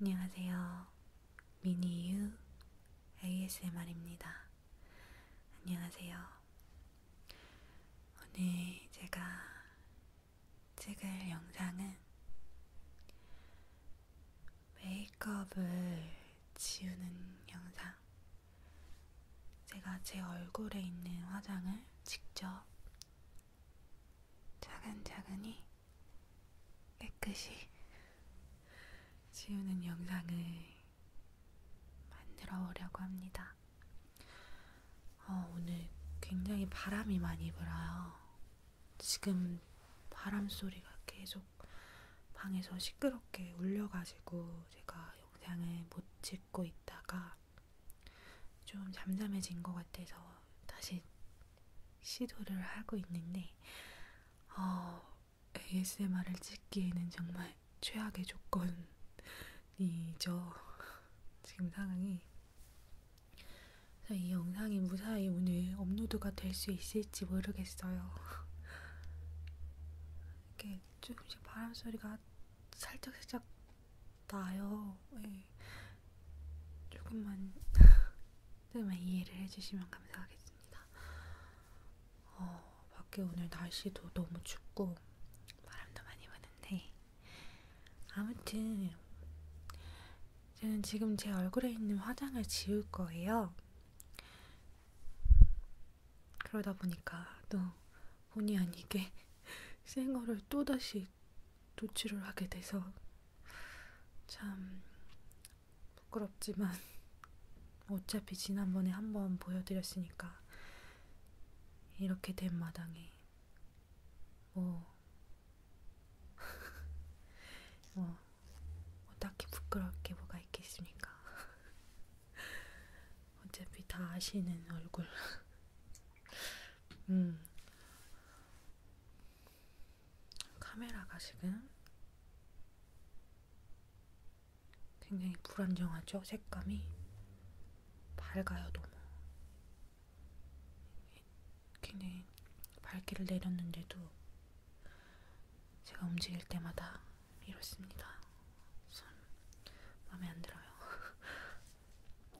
안녕하세요. 미니유 ASMR입니다. 안녕하세요. 오늘 제가 찍을 영상은 메이크업을 지우는 영상. 제가 제 얼굴에 있는 화장을 직접 차근차근히 깨끗이 지우는 영상을 만들어 오려고 합니다. 어, 오늘 굉장히 바람이 많이 불어요. 지금 바람 소리가 계속 방에서 시끄럽게 울려가지고 제가 영상을 못 찍고 있다가 좀 잠잠해진 것 같아서 다시 시도를 하고 있는데, 어, ASMR을 찍기에는 정말 최악의 조건이죠. 지금 상황이. 그래서 이 영상이 무사히 오늘 업로드가 될 수 있을지 모르겠어요. 이렇게 조금씩 바람 소리가 살짝 살짝 나요. 네. 조금만 조금만 이해를 해주시면 감사하겠습니다. 어, 밖에 오늘 날씨도 너무 춥고 바람도 많이 부는데 아무튼 저는 지금 제 얼굴에 있는 화장을 지울 거예요. 그러다 보니까 또 본의 아니게 생얼을 또다시 노출을 하게 돼서 참 부끄럽지만 어차피 지난번에 한 번 보여드렸으니까 이렇게 된 마당에 뭐, 뭐, 뭐 딱히 부끄러울 게 뭐가 있겠습니까? 어차피 다 아시는 얼굴. 음. 카메라가 지금 굉장히 불안정하죠? 색감이 밝아요, 너무. 굉장히 밝기를 내렸는데도 제가 움직일 때마다 이렇습니다. 참 마음에 안 들어요.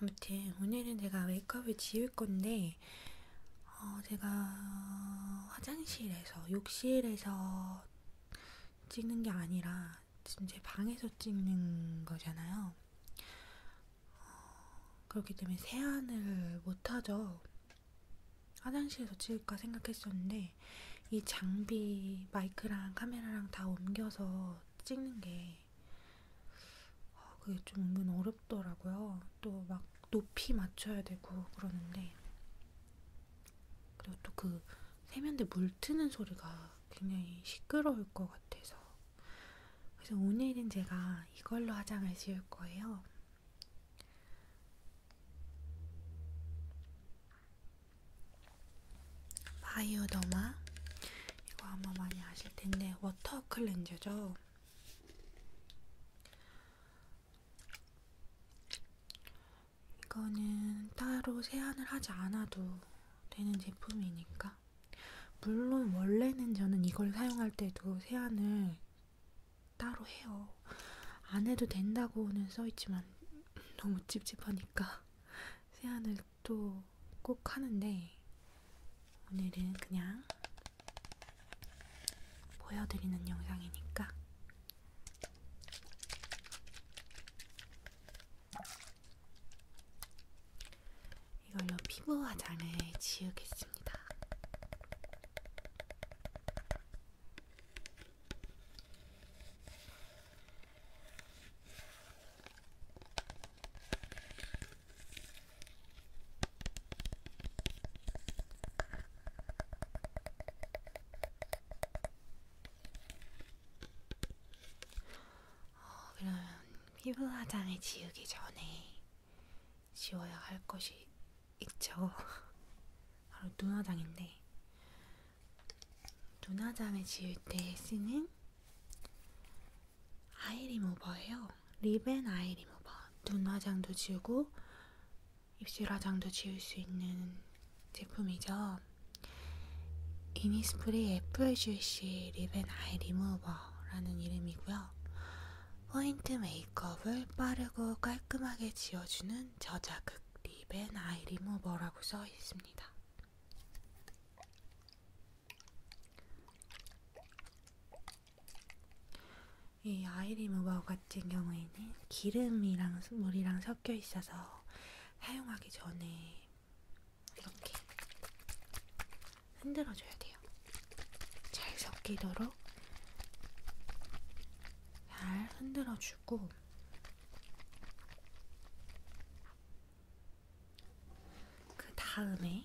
아무튼 오늘은 제가 메이크업을 지울 건데 어, 제가 화장실에서 욕실에서 찍는 게 아니라 지금 제 방에서 찍는 거잖아요. 어, 그렇기 때문에 세안을 못하죠. 화장실에서 찍을까 생각했었는데 이 장비 마이크랑 카메라랑 다 옮겨서 찍는 게 어, 그게 좀 은근 어렵더라고요. 또 막 높이 맞춰야 되고 그러는데 그리고 또 그 세면대 물 트는 소리가 굉장히 시끄러울 것 같아서 그래서 오늘은 제가 이걸로 화장을 지을 거예요. 바이오더마 이거 아마 많이 아실 텐데 워터 클렌저죠. 이거는 따로 세안을 하지 않아도 되는 제품이니까. 물론 원래는 저는 이걸 사용할 때도 세안을 따로 해요. 안 해도 된다고는 써있지만 너무 찝찝하니까 세안을 연습도 꼭 하는데 오늘은 그냥 보여드리는 영상이니까 이걸로 피부 화장을 지우겠습니다. 어, 그러면 피부 화장을 지우기 전에 지워야 할 것이 있죠. 바로 눈 화장인데 눈 화장을 지울 때 쓰는 아이 리무버예요. 립앤 아이 리무버. 눈 화장도 지우고 입술 화장도 지울 수 있는 제품이죠. 이니스프리 FLCC 립앤 아이 리무버라는 이름이고요. 포인트 메이크업을 빠르고 깔끔하게 지워주는 저자극 립앤 아이 리무버라고 써 있습니다. 이 아이림 우바우 같은 경우에는 기름이랑 물이랑 섞여 있어서 사용하기 전에 이렇게 흔들어줘야 돼요. 잘 섞이도록 잘 흔들어주고 그 다음에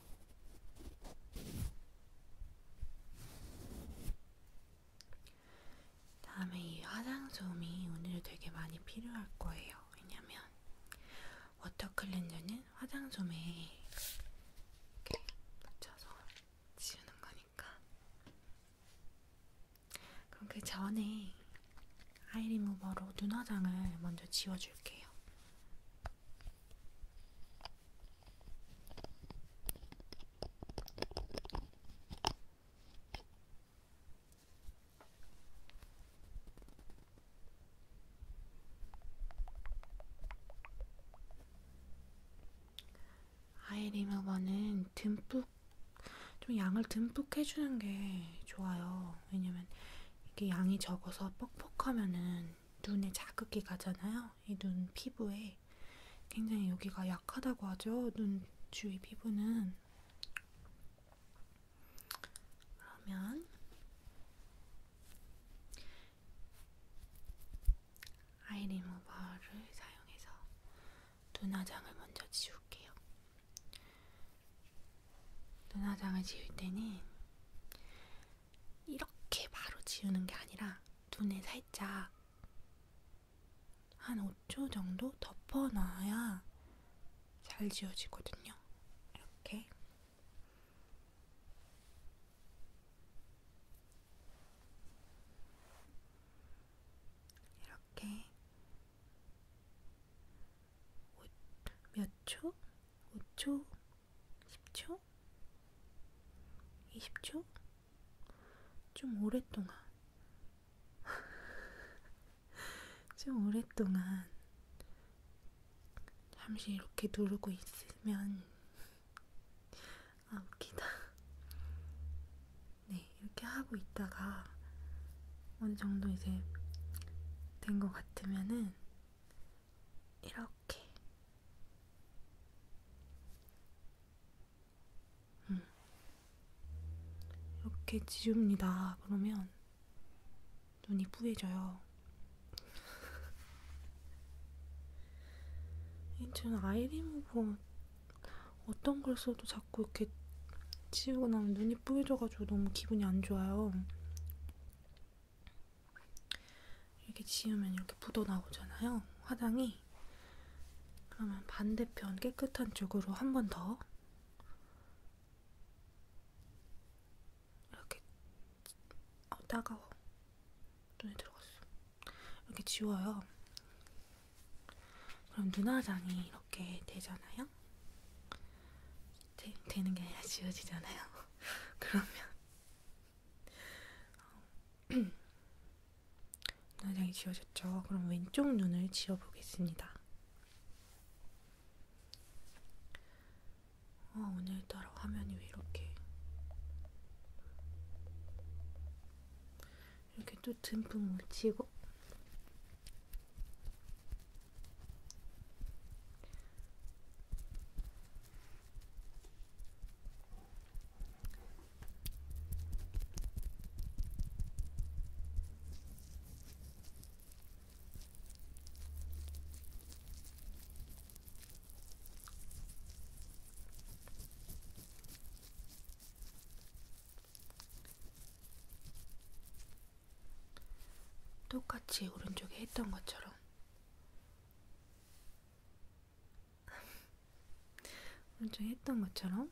다음에 이 화장솜이 오늘 되게 많이 필요할 거예요. 왜냐면 워터 클렌저는 화장솜에 이렇게 묻혀서 지우는 거니까. 그럼 그 전에 아이리무버로 눈화장을 먼저 지워줄게요. 아이 리무버는 듬뿍 좀 양을 듬뿍 해주는 게 좋아요. 왜냐면 이게 양이 적어서 뻑뻑하면은 눈에 자극이 가잖아요. 이 눈 피부에 굉장히 여기가 약하다고 하죠. 눈 주위 피부는 그러면 아이 리무버를 사용해서 눈화장을 먼저 지울게요. 눈화장을 지울 때는 이렇게 바로 지우는 게 아니라 눈에 살짝 한 5초 정도 덮어놔야 잘 지워지거든요. 이렇게. 이렇게. 몇 초? 5초 10초? 20초? 좀 오랫동안. 좀 오랫동안. 잠시 이렇게 누르고 있으면 아 웃기다 네 이렇게 하고 있다가 어느 정도 이제 된 것 같으면은 이렇게 음. 이렇게 지웁니다. 그러면 눈이 뿌얘져요. 저는 아이리무버 뭐 어떤 걸 써도 자꾸 이렇게 지우고 나면 눈이 뿌얘져가지고 너무 기분이 안 좋아요. 이렇게 지우면 이렇게 묻어 나오잖아요. 화장이. 그러면 반대편 깨끗한 쪽으로 한 번 더 이렇게 어, 따가워. 눈에 들어갔어. 이렇게 지워요. 그럼 눈화장이 이렇게 되잖아요. 되, 되는 게 아니라 지워지잖아요. 그러면 어, 눈화장이 지워졌죠. 그럼 왼쪽 눈을 지워보겠습니다. 어, 오늘따라 화면이 왜 이렇게 이렇게 또 듬뿍 묻히고 똑같이 오른쪽에 했던 것처럼 오늘 좀 했던 것처럼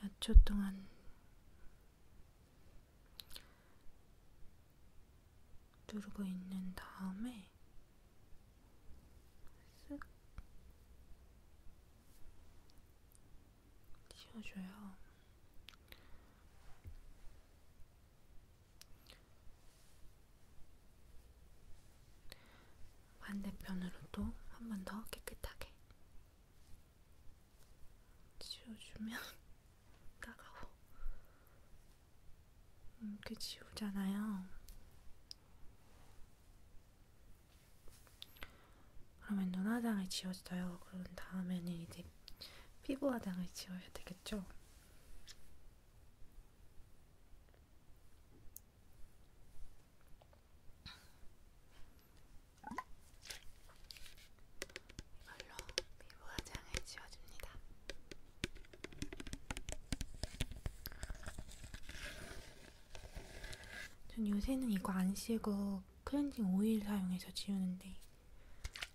몇 초 동안 누르고 있는 다음에 쓱 씌워줘요. 반대편으로도 한 번 더 깨끗하게 씌워주면 따가워 이렇게 음, 지우잖아요. 그러면 눈화장을 지웠어요. 그런 다음에는 이제 피부 화장을 지워야 되겠죠? 이걸로 피부 화장을 지워줍니다. 전 요새는 이거 안 쓰고 클렌징 오일 사용해서 지우는데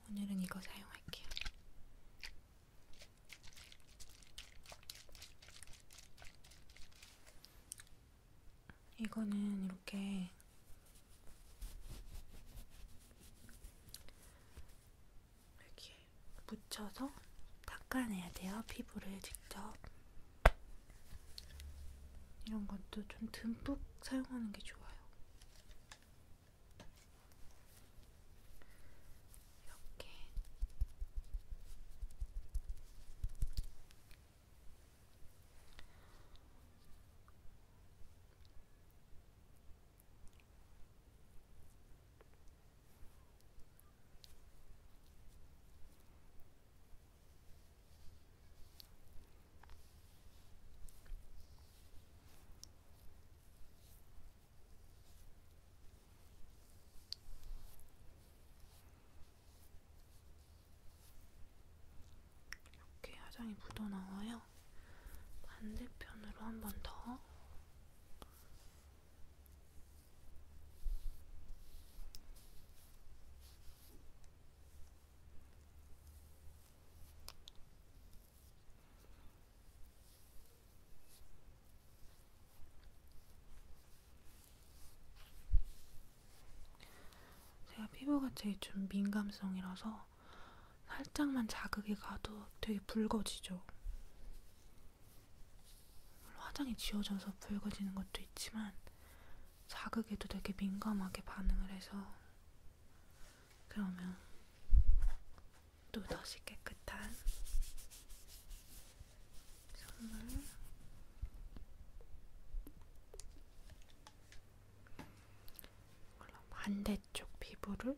오늘은 이거 사용할게요. 이거는 이렇게 이렇게 묻혀서 닦아내야 돼요. 피부를 직접. 이런 것도 좀 듬뿍 사용하는 게 좋아요. 이렇게. 이렇게 화장이 묻어나와요. 반대편으로 한 번 더. 제가 피부가 제일 좀 민감성이라서 살짝만 자극이 가도 되게 붉어지죠. 물론 화장이 지워져서 붉어지는 것도 있지만 자극에도 되게 민감하게 반응을 해서 그러면 또 다시 깨끗한 선물 반대쪽 피부를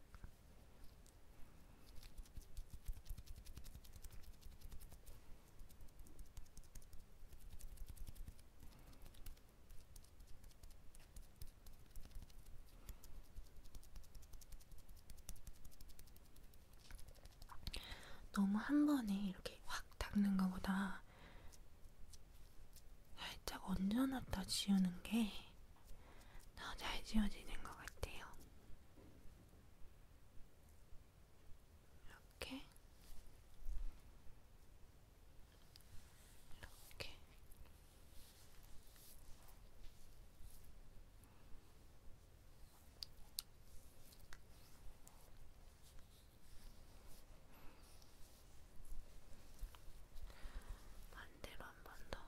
너무 한 번에 이렇게 확 닦는 것보다 살짝 얹어놨다 지우는 게 더잘 지워지는 것 같아요. 이렇게, 이렇게. 반대로 한 번 더.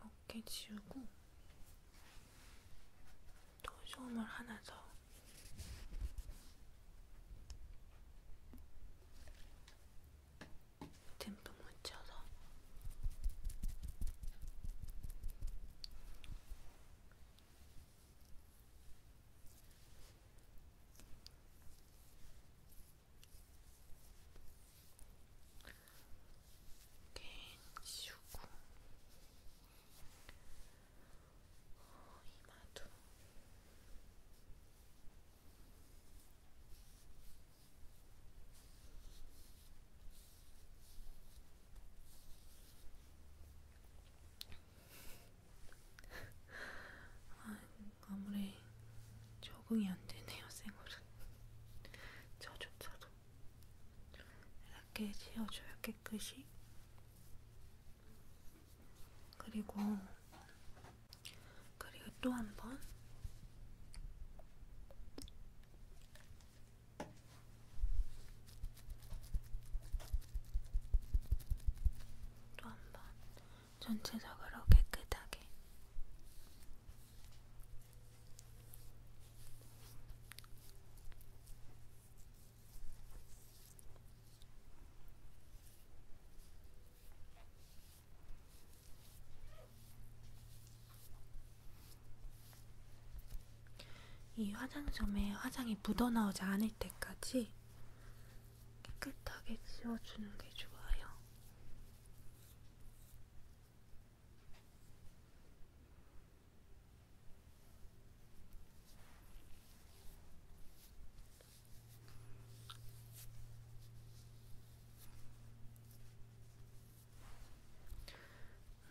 어깨 지우고 도소음을 하나 더 듬뿍 묻혀서 이렇게 지우고 어, 이마도 아, 아무리 적응이 안 되네요, 생얼은. 저조차도. 이렇게 지어줘요, 깨끗이. 그리고, 그리고 또 한 번. 또 한 번 전체적으로 깨끗하게 이 화장솜에 화장이 묻어나오지 않을 때까지 깨끗하게 지워주는 게 좋아요.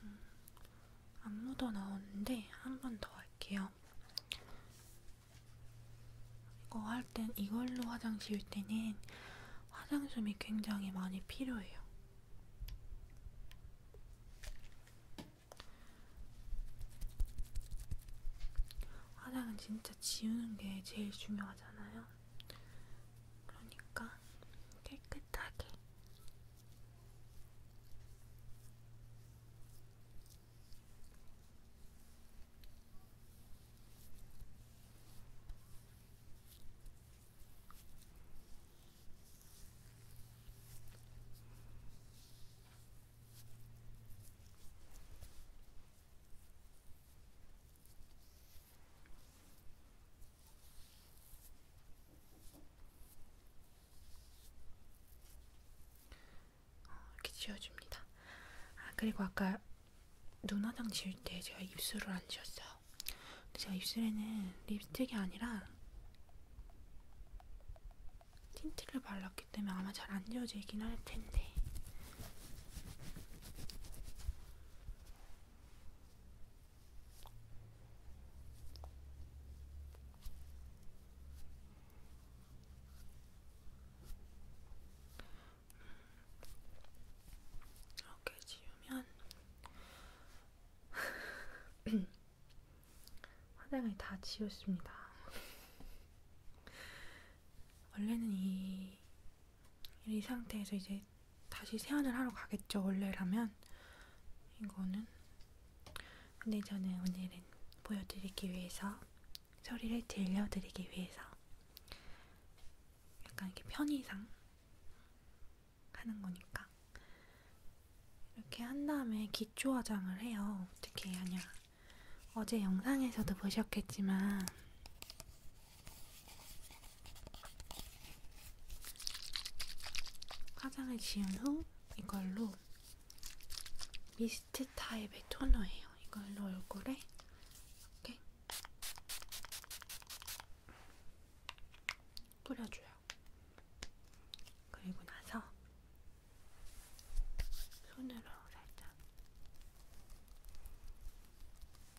음, 안 묻어 나오는데 한 번 더 할게요. 이거 할 땐 이걸로 화장 지울 때는 화장솜이 굉장히 많이 필요해요. 화장은 진짜 지우는 게 제일 중요하잖아요. 그러니까 깨끗하게 어, 이렇게 지워줍니다. 아 그리고 아까 눈 화장 지울 때 제가 입술을 안 지웠어요. 근데 제가 입술에는 립스틱이 아니라 틴트를 발랐기 때문에 아마 잘 안 지워지긴 할 텐데. 이렇게 지우면 화장을 다 지웠습니다. 원래는 이이 상태에서 이제 다시 세안을 하러 가겠죠 원래라면 이거는 근데 저는 오늘은 보여드리기 위해서 소리를 들려드리기 위해서 약간 이렇게 편의상 하는 거니까 이렇게 한 다음에 기초 화장을 해요 어떻게 하냐 어제 영상에서도 보셨겠지만 화장을 지운 후 이걸로 미스트 타입의 토너예요. 이걸로 얼굴에 이렇게 뿌려줘요. 그리고 나서 손으로 살짝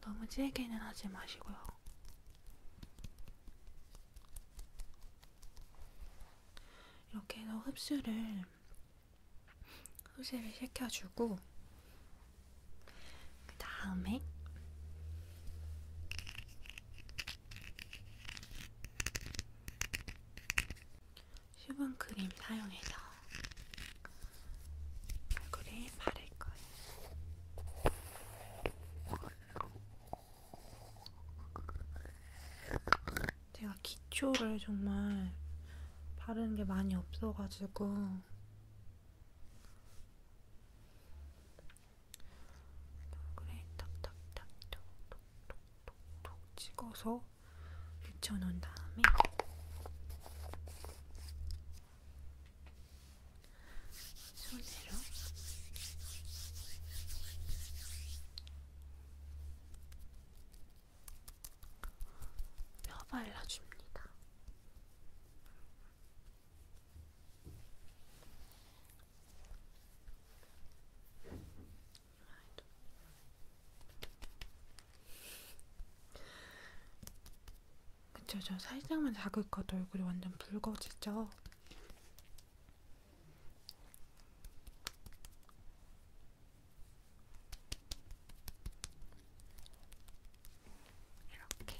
너무 질게는 하지 마시고요. 이렇게 해서 흡수를 흡수를 시켜주고 그 다음에 수분 크림 사용해서 얼굴이 마를 거예요. 제가 기초를 정말 바르는 게 많이 없어가지고 얼굴에 톡톡톡톡톡톡톡 찍어서 묻혀놓은 다음에 손으로 뼈 발라줍니다. 그쵸, 저 살짝만 작을 것도 얼굴이 완전 붉어지죠? 이렇게.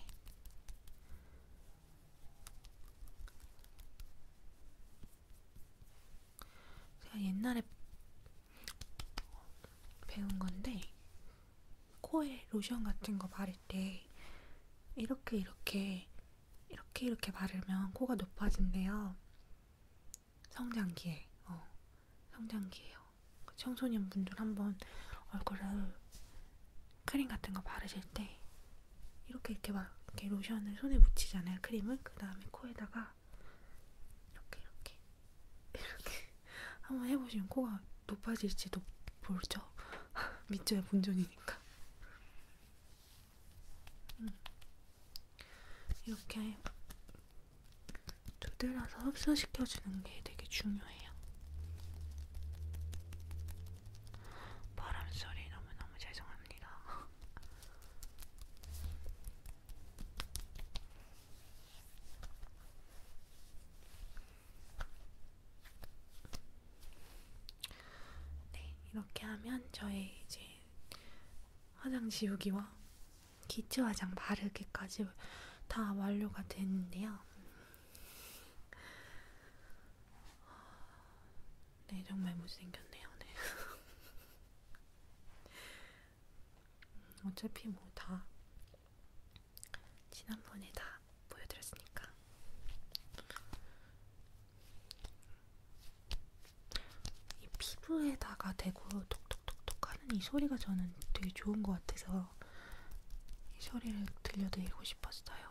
제가 옛날에 배운 건데 코에 로션 같은 거 바를 때 이렇게 이렇게 이렇게 이렇게 바르면 코가 높아진대요. 성장기에 어 성장기에요. 그 청소년 분들 한번 얼굴을 크림 같은 거 바르실 때 이렇게 이렇게 막 이렇게 로션을 손에 묻히잖아요. 크림을 그 다음에 코에다가 코가 이렇게 이렇게 이렇게 한번 해보시면 코가 높아질지도 모르죠. 밑줄야 본전이니까. 음. 이렇게 두들려서 흡수시켜주는 게 되게 중요해요. 바람 소리 너무너무 죄송합니다. 네, 이렇게 하면 저의 이제 화장 지우기와 기초 화장 바르기까지 다 완료가 됐는데요. 네, 정말 못생겼네요. 네. 어차피 뭐 다 지난번에 다 보여드렸으니까 이 피부에다가 대고 톡톡톡톡 하는 이 소리가 저는 되게 좋은 것 같아서 이 소리를 들려드리고 싶었어요.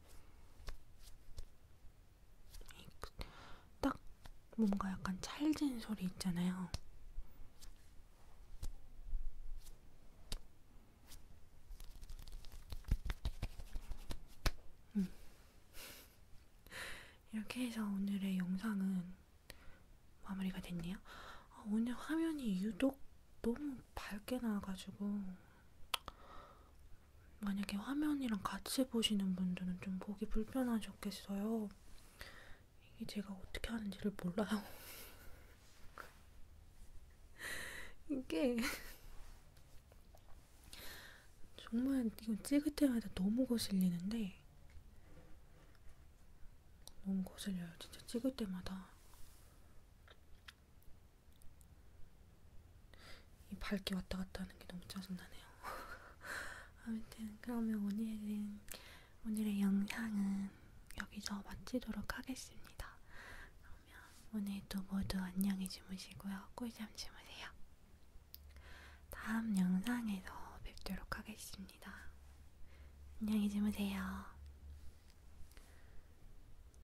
딱 뭔가 약간 찰진 소리 있잖아요. 음. 이렇게 해서 오늘의 영상은 마무리가 됐네요. 아, 오늘 화면이 유독 너무 밝게 나와가지고 만약에 화면이랑 같이 보시는 분들은 좀 보기 불편하셨겠어요. 이게 제가 어떻게 하는지를 몰라요. 이게 정말 이거 찍을 때마다 너무 거슬리는데 너무 거슬려요. 진짜 찍을 때마다 이 밝게 왔다 갔다 하는 게 너무 짜증나네요. 아무튼 그러면 오늘은 오늘의 영상은 여기서 마치도록 하겠습니다. 그러면 오늘도 모두 안녕히 주무시고요. 꿀잠 주무세요. 다음 영상에서 뵙도록 하겠습니다. 안녕히 주무세요.